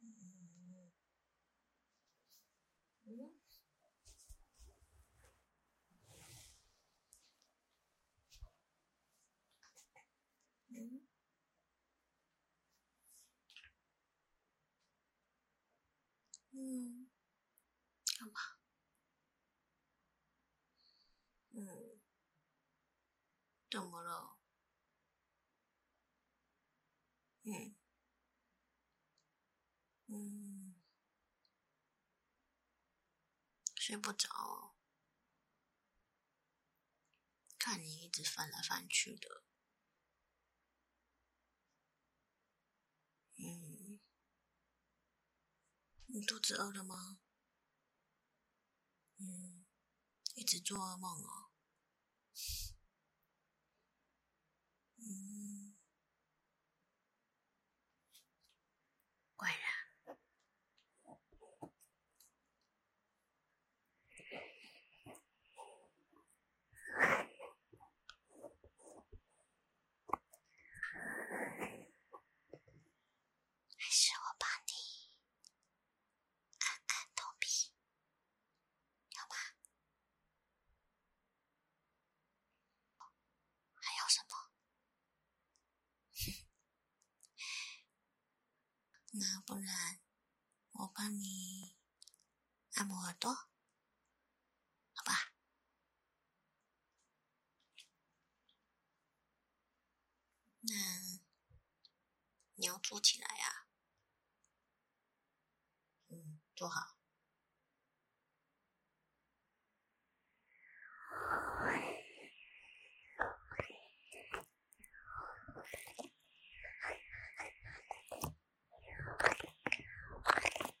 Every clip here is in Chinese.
嗯嗯嗯嗯，干嘛？嗯。怎么了？嗯，嗯，睡不着，看你一直翻来翻去的。嗯，你肚子饿了吗？嗯，一直做噩梦哦。嗯，怪啦。还是我帮你那不然我帮你按摩耳朵，好吧？那你要做起来啊，嗯，坐好。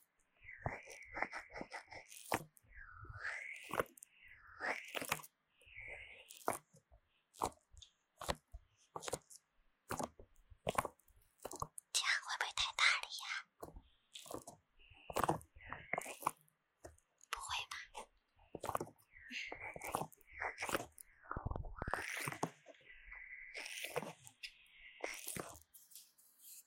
这样会不会太大了呀？不会吧。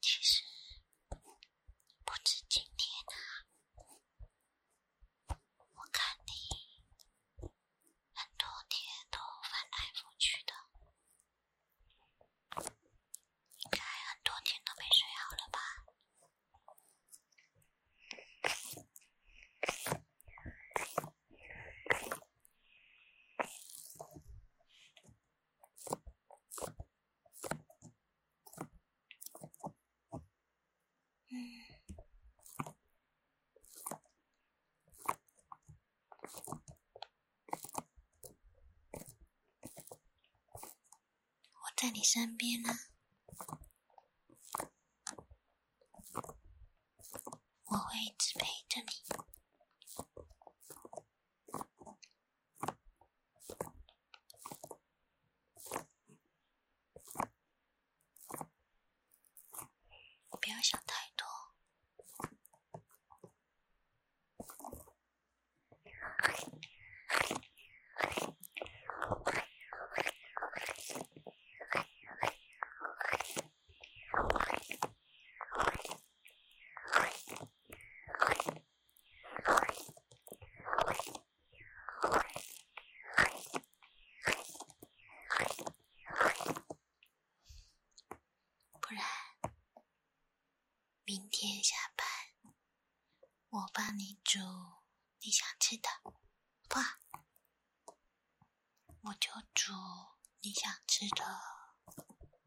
其实不止今天啊，我看你很多天都翻来覆去的，应该很多天都没睡好了吧？嗯，我在你身边呢，我会一直陪着你。不要想太多。不然，明天下班我帮你煮你想吃的，哇！我就煮你想吃的。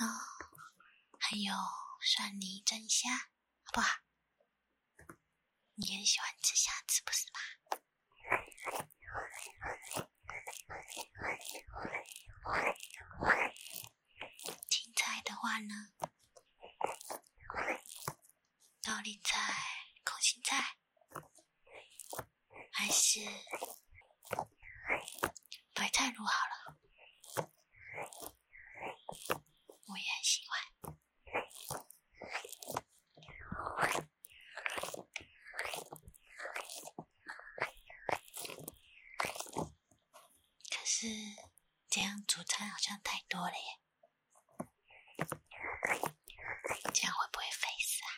哦，还有蒜泥蒸虾，好不好？你也喜欢吃虾，是不是嘛？青菜的话呢，油菜、空心菜，还是白菜卤好了，我也很喜欢。可是，这样主餐好像太多了耶，这样会不会肥死啊？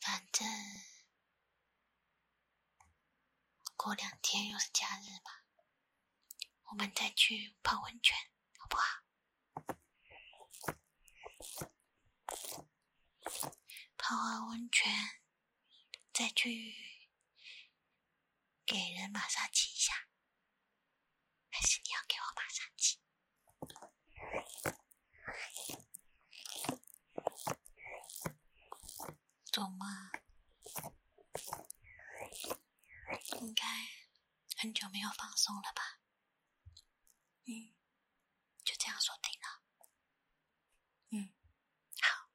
反正。过两天又是假日嘛，我们再去泡温泉，好不好？泡完温泉再去给人马杀鸡一下，还是你要给我马杀鸡？懂吗？应该很久没有放松了吧？嗯，就这样说定了。嗯，好。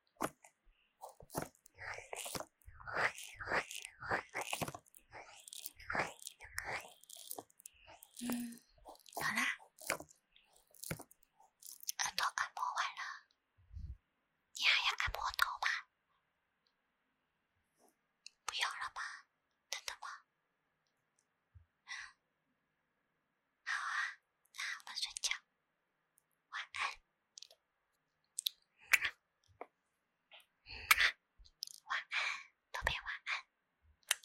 嗯，好啦。耳朵按摩完了，你还要按摩头吗？不用了吧？等等吧。好啊，那我睡觉。晚安。晚安，宝贝晚安。